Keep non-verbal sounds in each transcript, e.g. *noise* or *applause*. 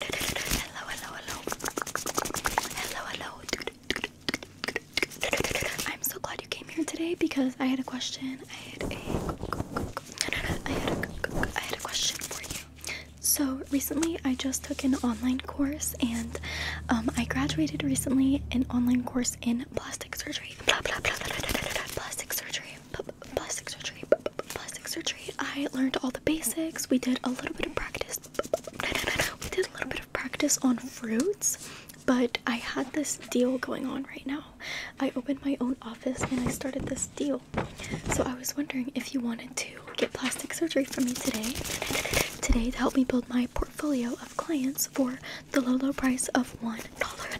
Hello, hello, hello. Hello, hello. I'm so glad you came here today because I had a question. I had a I had a, I had a question for you. So recently I just took an online course and um, I graduated recently an online course in plastic surgery. Blah, blah, blah, blah, blah, blah, blah, blah, plastic surgery. Plastic surgery. Plastic surgery. I learned all the basics. We did a little bit of practice. *laughs* We did a little bit of practice on fruits, but I had this deal going on right now. I opened my own office and I started this deal. So I was wondering if you wanted to get plastic surgery from me today. Today to help me build my portfolio of clients for the low low price of one dollar.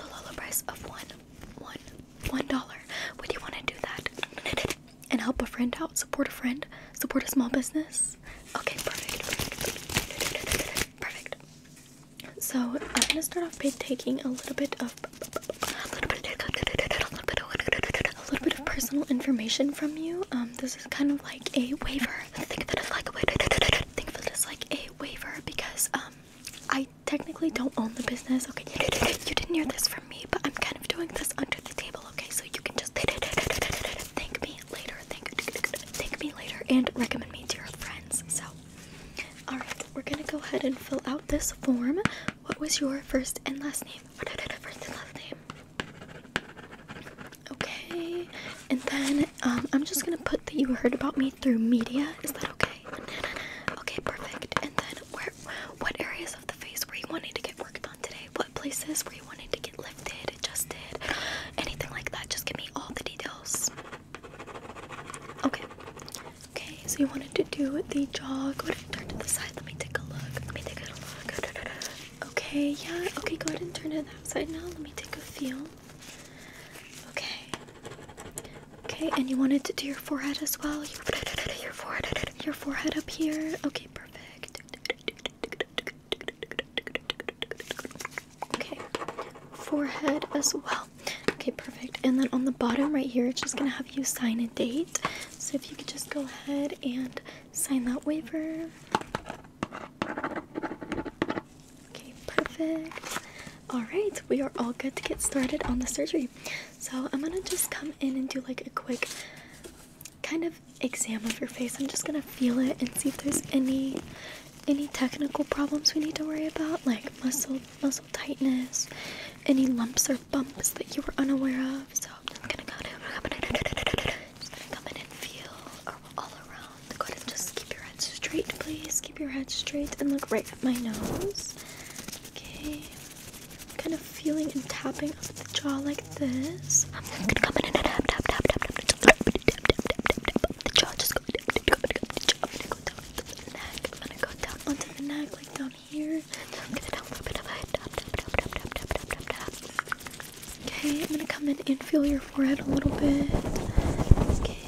The low low price of one one one dollar. Would you want to do that? and help a friend out, support a friend, support a small business. Okay, perfect, perfect, perfect. So I'm gonna start off by taking a little bit of a little bit, of personal information from you. Um, this is kind of like a waiver. Think of it as like a waiver. because um, I technically don't own the business. Okay, you didn't hear this from from me, but I'm kind of doing this under the table, okay? So you can just thank me later, thank, thank me later, and recommend me to your friends. So, alright, we're gonna go ahead and fill out this form. What was your first and last name? First and last name. Okay, and then um, I'm just gonna put that you heard about me through media. Is that okay? Okay, perfect. And then where what areas of the face were you wanting to get worked on today? What places were you wanting to get lifted, adjusted, anything like that? Just give me all the details. Okay. Okay, so you wanted to do the jaw. Go ahead and turn to the side. Let me take a look. Let me take a look. Okay, yeah. Okay, go ahead and turn to that side now. Let me take a feel. Okay. Okay, and you wanted to do your forehead as well. Your forehead, your forehead up here. Okay, perfect. Okay, forehead as well. Okay, perfect. And then on the bottom right here, it's just gonna have you sign a date. So if you could just go ahead and sign that waiver. Okay, perfect. All right, we are all good to get started on the surgery. So I'm gonna just come in and do like a quick kind of exam of your face. I'm just gonna feel it and see if there's any any technical problems we need to worry about, like muscle muscle tightness, any lumps or bumps that you were unaware of. So I'm just gonna go to just gonna come in and feel all around. Go ahead and just keep your head straight, please. Keep your head straight and look right at my nose. Okay kind of feeling and tapping of the jaw like this. I'm gonna come in and tap, tap, tap, tap, tap, tap, the jaw. Just go, go, I'm gonna go down to the neck. I'm gonna go down onto the neck, like down here. I'm gonna down a little bit of it. Tap, tap, tap, tap, tap, tap, tap, tap, tap. Okay, I'm gonna come in and feel your forehead a little bit. Okay.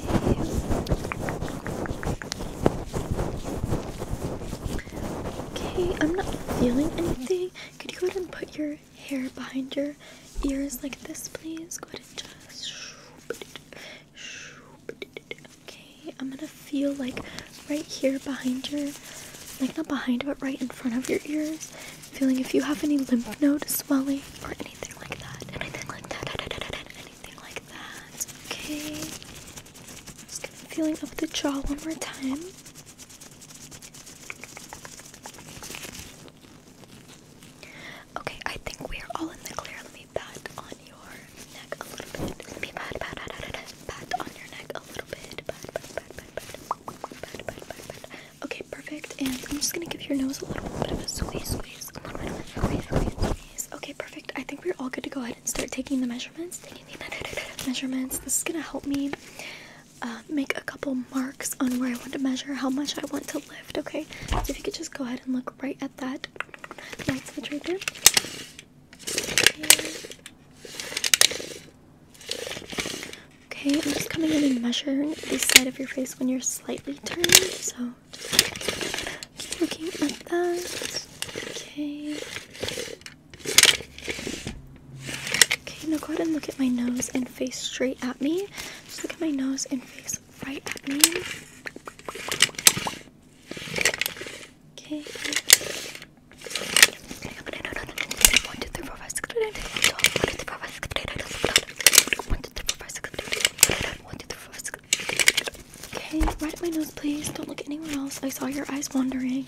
Okay, I'm not feeling anything. Could you go ahead and put your hair behind your ears like this, please? Go ahead and just. Okay, I'm gonna feel like right here behind your. Like, not behind, but right in front of your ears. Feeling if you have any lymph node swelling or anything like that. Anything like that. Anything like that. Okay. feeling up the jaw one more time. Okay, I think we are all in the clear. Let me pat on your neck a little bit. Let me pat, pat, pat, pat, pat, on your neck a little bit. Pat, pat, pat, pat, pat, pat, pat, pat, pat. Okay, perfect. And I'm just gonna give your nose a little bit of a squeeze, squeeze, a squeeze, squeeze, squeeze. Okay, perfect. I think we're all good to go ahead and start taking the measurements measurements. This is gonna help me uh, make a couple marks on where I want to measure, how much I want to lift, okay? So if you could just go ahead and look right at that light switch right there. Okay, I'm just coming in and measuring the side of your face when you're slightly turned, so looking at that. Okay. Okay, now go ahead and look at my nose and face straight at me. Just look at my nose and face right at me. Okay. Okay, right at my nose, please. Don't look anywhere else. I saw your eyes wandering.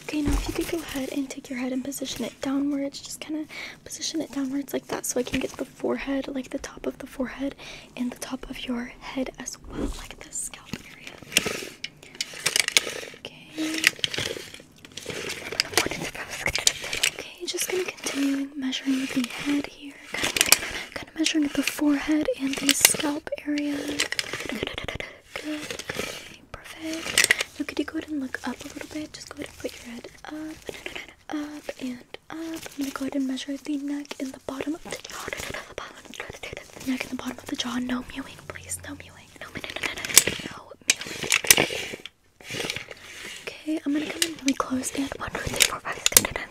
Okay, now if you could go ahead and take your head and position it downwards, just kind of position it downwards like that so I can get the forehead, like the top of the forehead and the top of your head as well, like the scalp area. Okay. Okay, just gonna continue measuring the head here. Kind of, kind of measuring the forehead and the scalp area. Good. Okay, perfect. Now, could you go ahead and look up a little bit? Just go ahead and put your head up, up, and up. I'm gonna go ahead and measure the neck and the bottom of the jaw. neck and the bottom of the jaw. No mewing, please. No mewing. No mewing. No mewing. Okay, I'm gonna come in really close and 1, 2, 3, 4, 5, 6, 7, 8,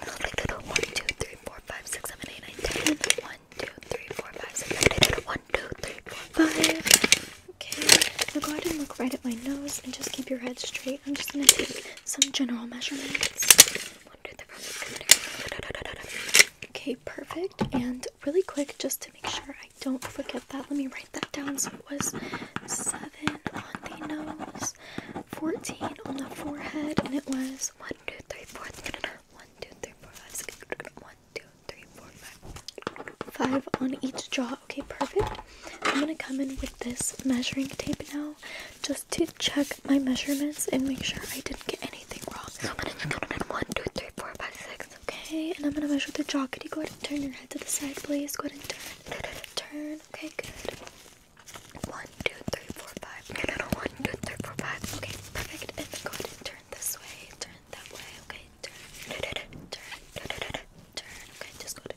9, 10, Okay, now go ahead and look right at my nose and just keep your head straight. I'm just gonna take some general measurements. Okay, perfect. And really quick, just to make sure I don't forget that, let me write that down. So it was 7 on the nose was 14 on the forehead, and it was 1, 2, 3, 4, 1, 2, 3, 4, 5, 6, 1, 2, 3, 4, 5. 5 on each jaw. Okay, perfect. I'm gonna come in with this measuring tape now just to check my measurements and make sure I didn't get anything wrong. So I'm gonna count in 1, 2, 3, 4, 5, 6. Okay, and I'm gonna measure the jaw. Could you go ahead and turn your head to the side, please? Go ahead and turn. Turn. Okay, good. One, two, three, four, five. One, two, three, four, five. Okay, perfect. And go ahead turn this way. Turn that way. Okay, turn. Da, da, turn. turn. Okay, just go. Da,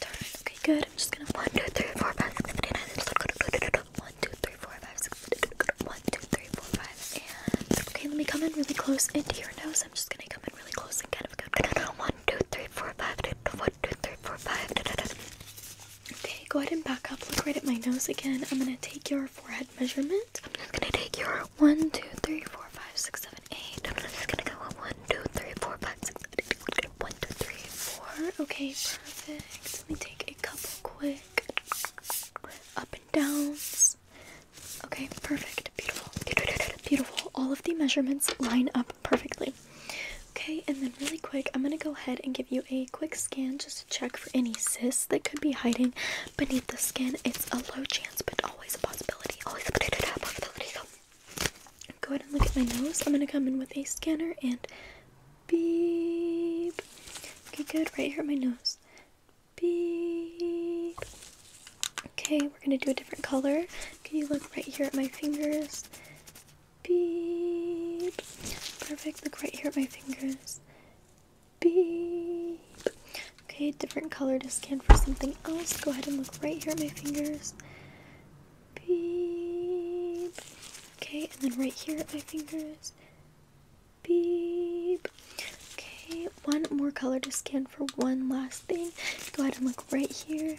turn. Okay, good. I'm just gonna one, two, three, four, five, six, seven, eight, nine. Just eight, nine. One, two, three, four, five. And okay, let me come in really close into your nose. I'm just gonna come in really close and kind of go two, three, four, five. One, two, three, four, five. Okay, go ahead and back up. Look right at my nose again. I'm gonna take your forehead measurement. I'm just gonna take your one, two, three, four, five, six, seven, eight. I'm just gonna go one, two, three, four, five, six, seven, eight. One, two, three, four. Okay, perfect. Let me take a couple quick up and downs. Okay, perfect. Beautiful. Beautiful. All of the measurements line up perfectly. Okay, and then really quick, I'm gonna go ahead and give you a quick scan just to check for any cysts that could be hiding beneath the skin. It's a low chance, but always a possibility. Always a possibility. go ahead and look at my nose. I'm gonna come in with a scanner and beep. Okay, good. Right here at my nose. Beep. Okay, we're gonna do a different color. Can you look right here at my fingers? Beep. Perfect. Look right here at my fingers. Beep. Okay, different color to scan for something else. Go ahead and look right here at my fingers. Beep. Okay, and then right here at my fingers. Beep. Okay, one more color to scan for one last thing. Go ahead and look right here.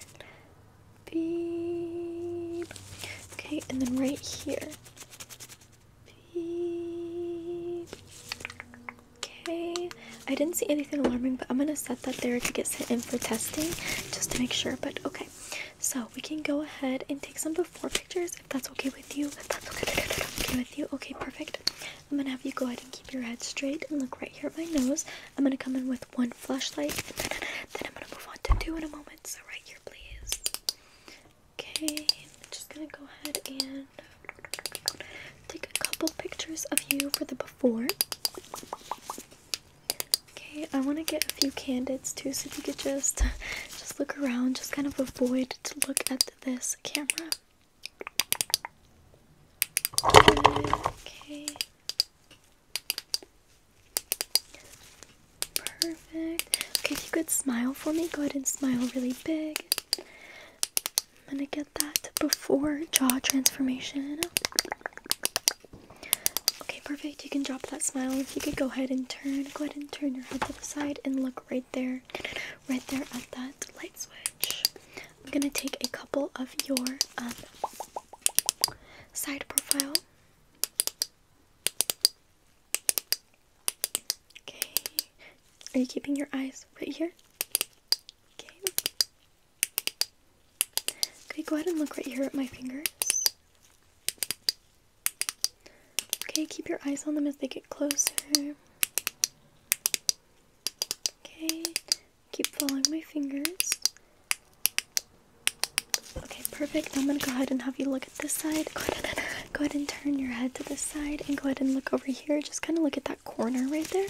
Beep. Okay, and then right here. Okay. I didn't see anything alarming, but I'm gonna set that there to get sent in for testing just to make sure. But okay. So we can go ahead and take some before pictures if that's okay with you. that's okay with you. Okay, perfect. I'm gonna have you go ahead and keep your head straight and look right here at my nose. I'm gonna come in with one flashlight, and then, I'm gonna move on to two in a moment. So right here, please. Okay, I'm just gonna go ahead and take a couple pictures of you for the before. Okay, I want to get a few candidates too, so if you could just just look around, just kind of avoid to look at this camera. Okay. Perfect. Okay, if you could smile for me, go ahead and smile really big. I'm gonna get that before jaw transformation. Okay, perfect. You can drop that smile. If you could go ahead and turn, go ahead and turn your head to the side and look right there, right there at that light switch. I'm gonna take a couple of your um, side profile. Okay. Are you keeping your eyes right here? Okay. Okay, go ahead and look right here at my fingers. Okay, keep your eyes on them as they get closer. Okay, Keep following my fingers. Okay, perfect. I'm gonna go ahead and have you look at this side. Go ahead, and, go ahead and turn your head to this side and go ahead and look over here. Just kind of look at that corner right there.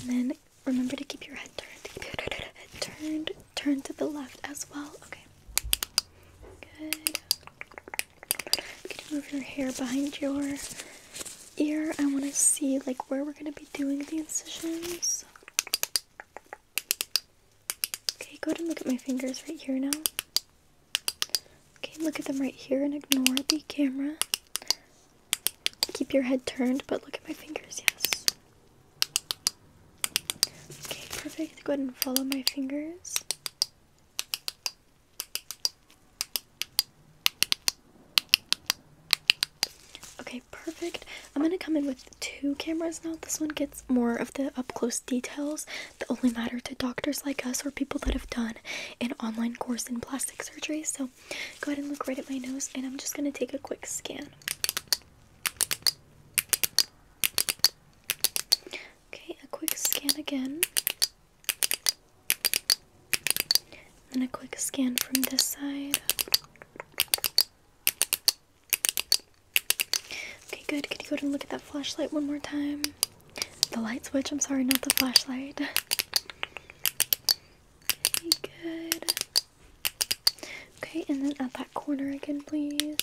And then remember to keep your head turned. Keep your head turned. Turn to the left as well. Okay. Good. You move your hair behind your ear. I want to see like where we're gonna be doing the incisions. Okay, go ahead and look at my fingers right here now. Okay, look at them right here and ignore the camera. Keep your head turned, but look at my fingers, yes. Okay, perfect. Go ahead and follow my fingers. Okay, perfect. I'm gonna come in with two cameras now. This one gets more of the up close details that only matter to doctors like us or people that have done an online course in plastic surgery. So go ahead and look right at my nose, and I'm just gonna take a quick scan. Okay, a quick scan again. And a quick scan from this side. Okay, good. Can you go to look at that flashlight one more time? The light switch, I'm sorry, not the flashlight. Okay, good. Okay, and then at that corner again, please.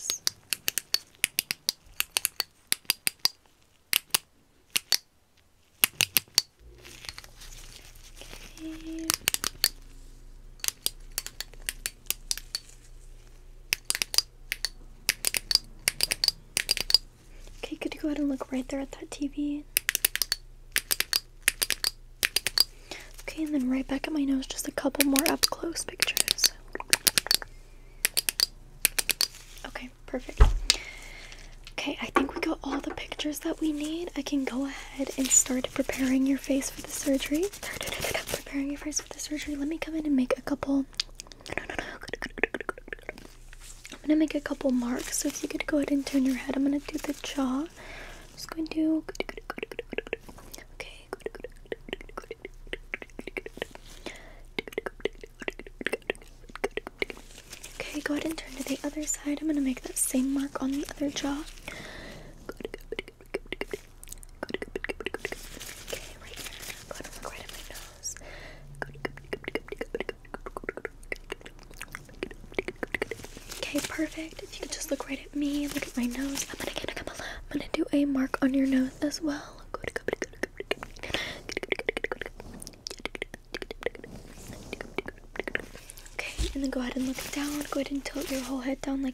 Okay, could you go ahead and look right there at that TV? Okay, and then right back at my nose, just a couple more up close pictures. Okay, perfect. Okay, I think we got all the pictures that we need. I can go ahead and start preparing your face for the surgery. *laughs* Preparing your face for the surgery. Let me come in and make a couple. I'm gonna make a couple marks. So if you could go ahead and turn your head, I'm gonna do the jaw. just going to. Okay. Okay. Go ahead and turn to the other side. I'm gonna make that same mark on the other jaw. Okay, right here. look right at my nose. Okay, perfect. If you could just look right at me, look at my nose. I'm gonna get a couple. I'm gonna do a mark on your nose as well. Okay, and then go ahead and look down. Go ahead and tilt your whole head down like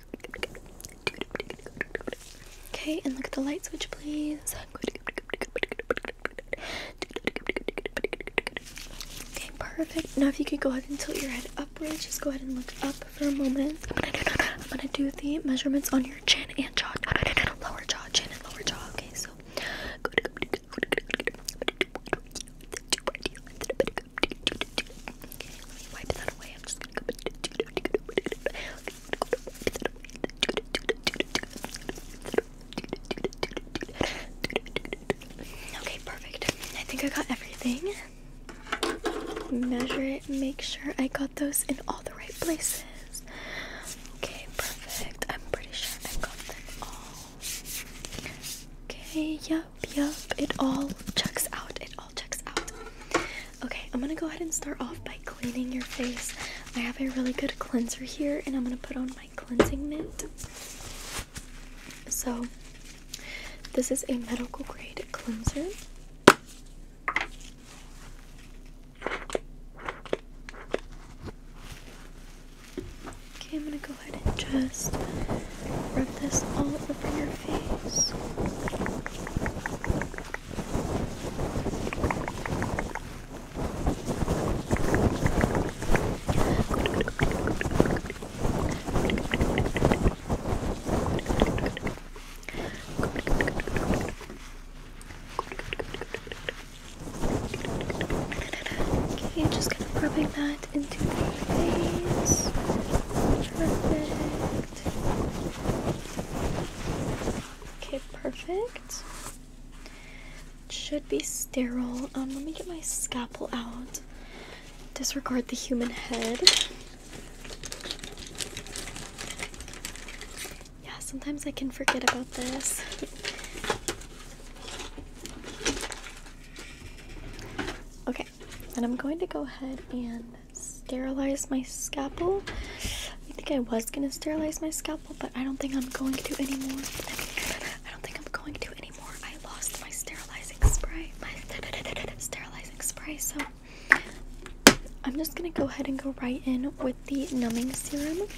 Okay, and look at the light switch, please. Okay, perfect. Now, if you could go ahead and tilt your head upwards, just go ahead and look up for a moment. I'm gonna do, the measurements on your chin and jaw, lower jaw, chin and lower jaw. Okay, so. Okay, let me wipe that away. Okay, perfect. I think I got everything. Measure it, make sure I got those in all the right places. Okay, perfect. I'm pretty sure I got them all. Okay, yep, yep. It all checks out. It all checks out. Okay, I'm gonna go ahead and start off by cleaning your face. I have a really good cleanser here, and I'm gonna put on my cleansing mitt. So, this is a medical grade cleanser. Okay, I'm gonna go ahead and just rub this all over your face. Okay, just kind of rubbing that into the face. Perfect. Okay, perfect. Should be sterile. Um, let me get my scalpel out. Disregard the human head. Yeah, sometimes I can forget about this. *laughs* okay, and I'm going to go ahead and sterilize my scalpel. I think I was gonna sterilize my scalpel, but I don't think I'm going to anymore. I don't think I'm going to anymore. I lost my sterilizing spray, my sterilizing spray. So I'm just gonna go ahead and go right in with the numbing serum.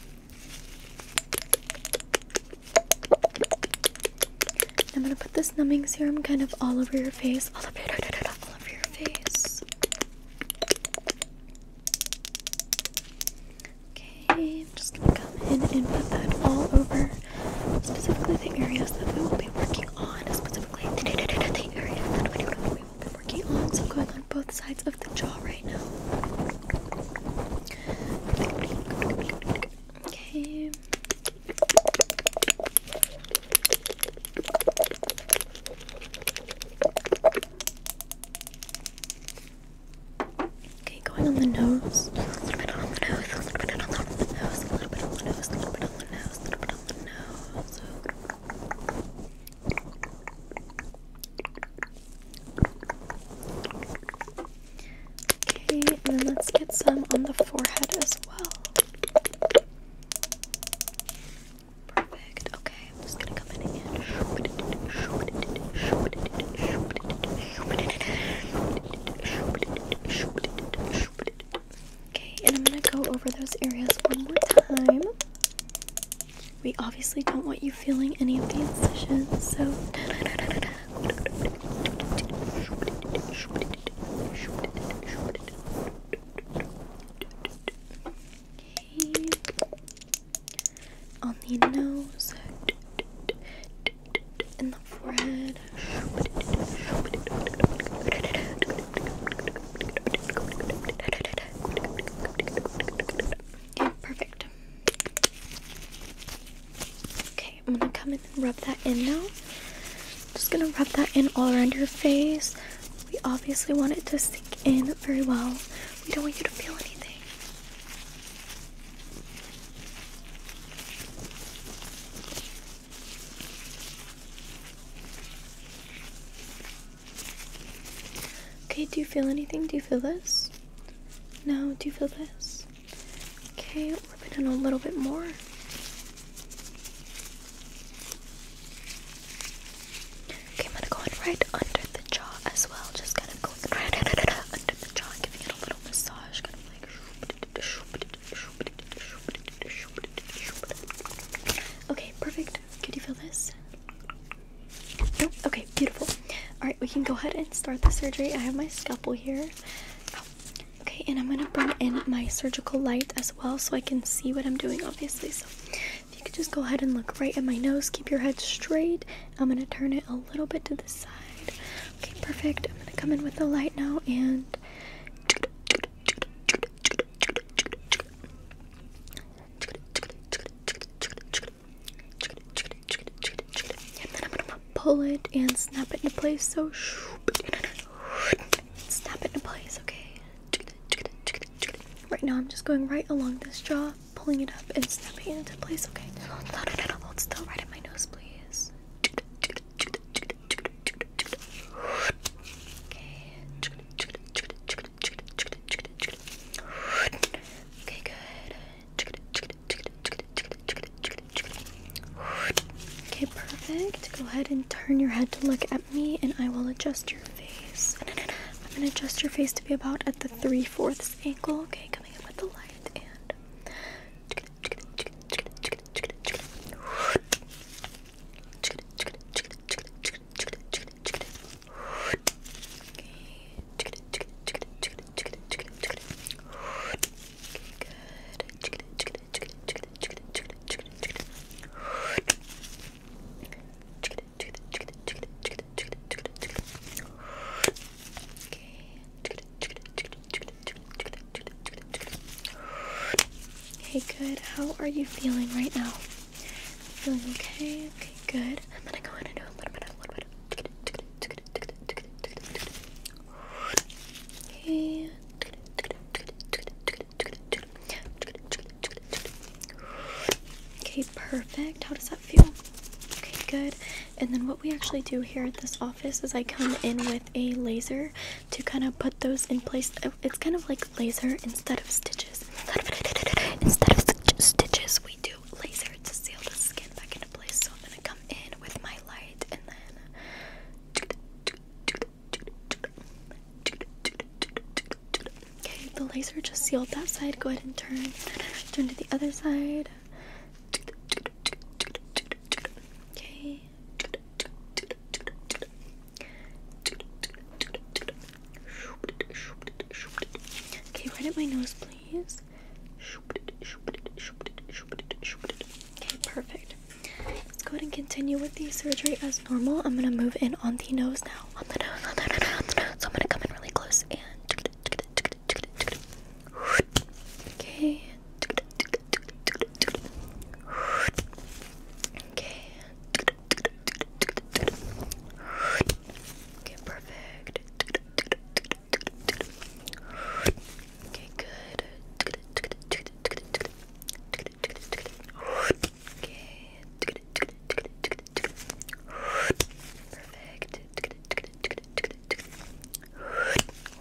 I'm gonna put this numbing serum kind of all over your face, all over, *laughs* your face. Okay, I'm just gonna come in and put that all over, specifically the areas that we will be working on, specifically the areas that we will be working on. So I'm going on both sides of the jaw right now. Okay. Okay, going on the nose. Okay, and then let's get some on the forehead as well. Perfect. Okay, I'm just gonna come in again. Okay, and I'm gonna go over those areas one more time. We obviously don't want you feeling any of the incisions, so. On the nose and the forehead. Okay, perfect. Okay, I'm gonna come in and rub that in now. Just gonna rub that in all around your face. We obviously want it to sink in very well. We don't want you to feel anything. Okay, do you feel anything? Do you feel this? No, do you feel this? Okay, rub it in a little bit more. Okay, I'm gonna go in right under the jaw as well. Just kind of going right under the jaw, giving a little massage. Kind of like. Okay, perfect. Can you feel this? Nope. Okay, beautiful. All right, we can go ahead and start the surgery. I have my scalpel here. okay, and I'm gonna bring in my surgical light as well, so I can see what I'm doing, obviously. So. If you could just go ahead and look right at my nose, keep your head straight. I'm gonna turn it a little bit to the side. Okay, perfect. I'm gonna come in with the light now and and then I'm gonna pull it and snap it into place. So snap it into place, okay? Right now, I'm just going right along this jaw, pulling it up and snapping it into place. Okay, no, no, no, still, right at my nose, please. Okay. Okay, good. Okay, perfect. Go ahead and turn your head to look at me, and I will adjust your. I'm gonna adjust your face to be about at the three fourths angle. Okay, coming in with the light and. Okay, good. How are you feeling right now? Feeling okay? Okay, good. I'm gonna go in and do a little bit of a little bit of Okay. Okay, perfect. How does that feel? Okay, good. And then what we actually do here at this office is I come in with a laser to kind of put those in place. Uh, it's kind of like laser instead of stitches. Instead of st stitches, we do laser to seal the skin back into place. So I'm gonna come in with my light and then Okay, the laser just sealed that side. Go ahead and turn. Turn to the other side. Okay. Okay, right at my nose, please. Okay, perfect. Let's go ahead and continue with the surgery as normal. I'm gonna move in on the nose now on the nose, on the nose, on the nose. So I'm gonna come in really close and. Okay. Okay. Okay, perfect. Okay, good. Okay. Perfect.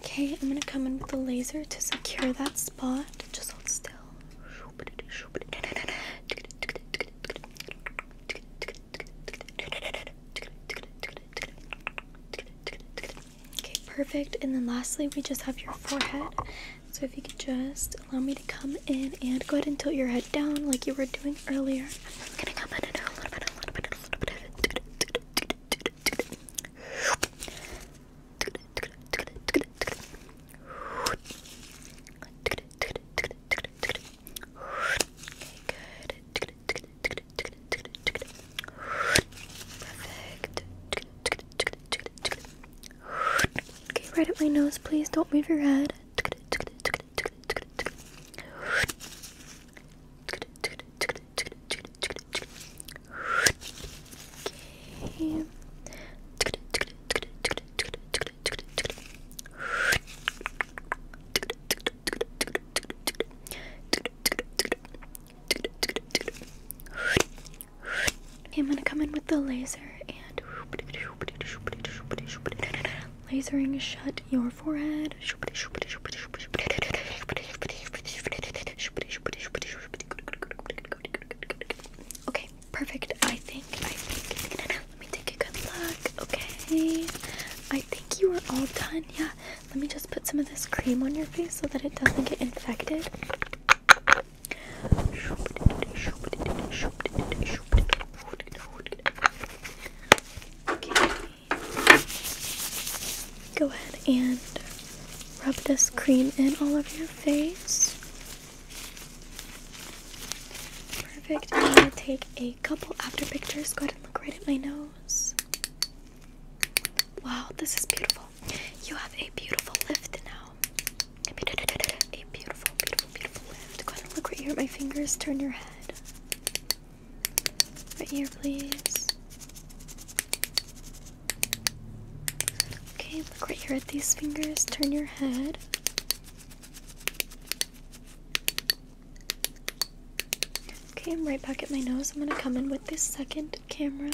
Okay, I'm gonna come in with the laser to secure that spot. Just hold still. Okay, perfect. And then lastly, we just have your forehead. So if you could just allow me to come in and go ahead and tilt your head down like you were doing earlier. Okay, right at my nose, please. Don't move your head. I'm gonna come in with the laser and Lasering shut your forehead. Okay, perfect. I think, I think, let me take a good look. Okay, I think you are all done. Yeah, let me just put some of this cream on your face so that it doesn't get infected. Go ahead and rub this cream in all over your face. Perfect. I'm gonna take a couple after pictures. Go ahead and look right at my nose. Wow, this is beautiful. You have a beautiful lift now. A beautiful, beautiful, beautiful lift. Go ahead look right here at my fingers. Turn your head. Right here, please. Okay, look right here at these fingers. Turn your head. Okay, I'm right back at my nose. I'm gonna come in with this second camera.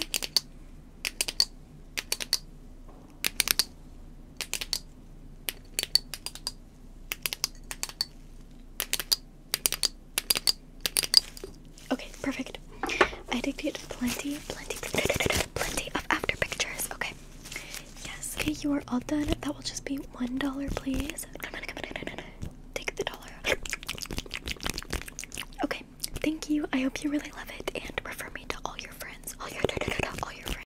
Okay, perfect. I did get plenty, plenty, plenty of after pictures. Okay. Yes. Okay, you are all done. That will just be one dollar, please. Come on, come on, come on. Take the dollar. Okay. Thank you. I hope you really love it and refer me to all your friends. All your all your friends.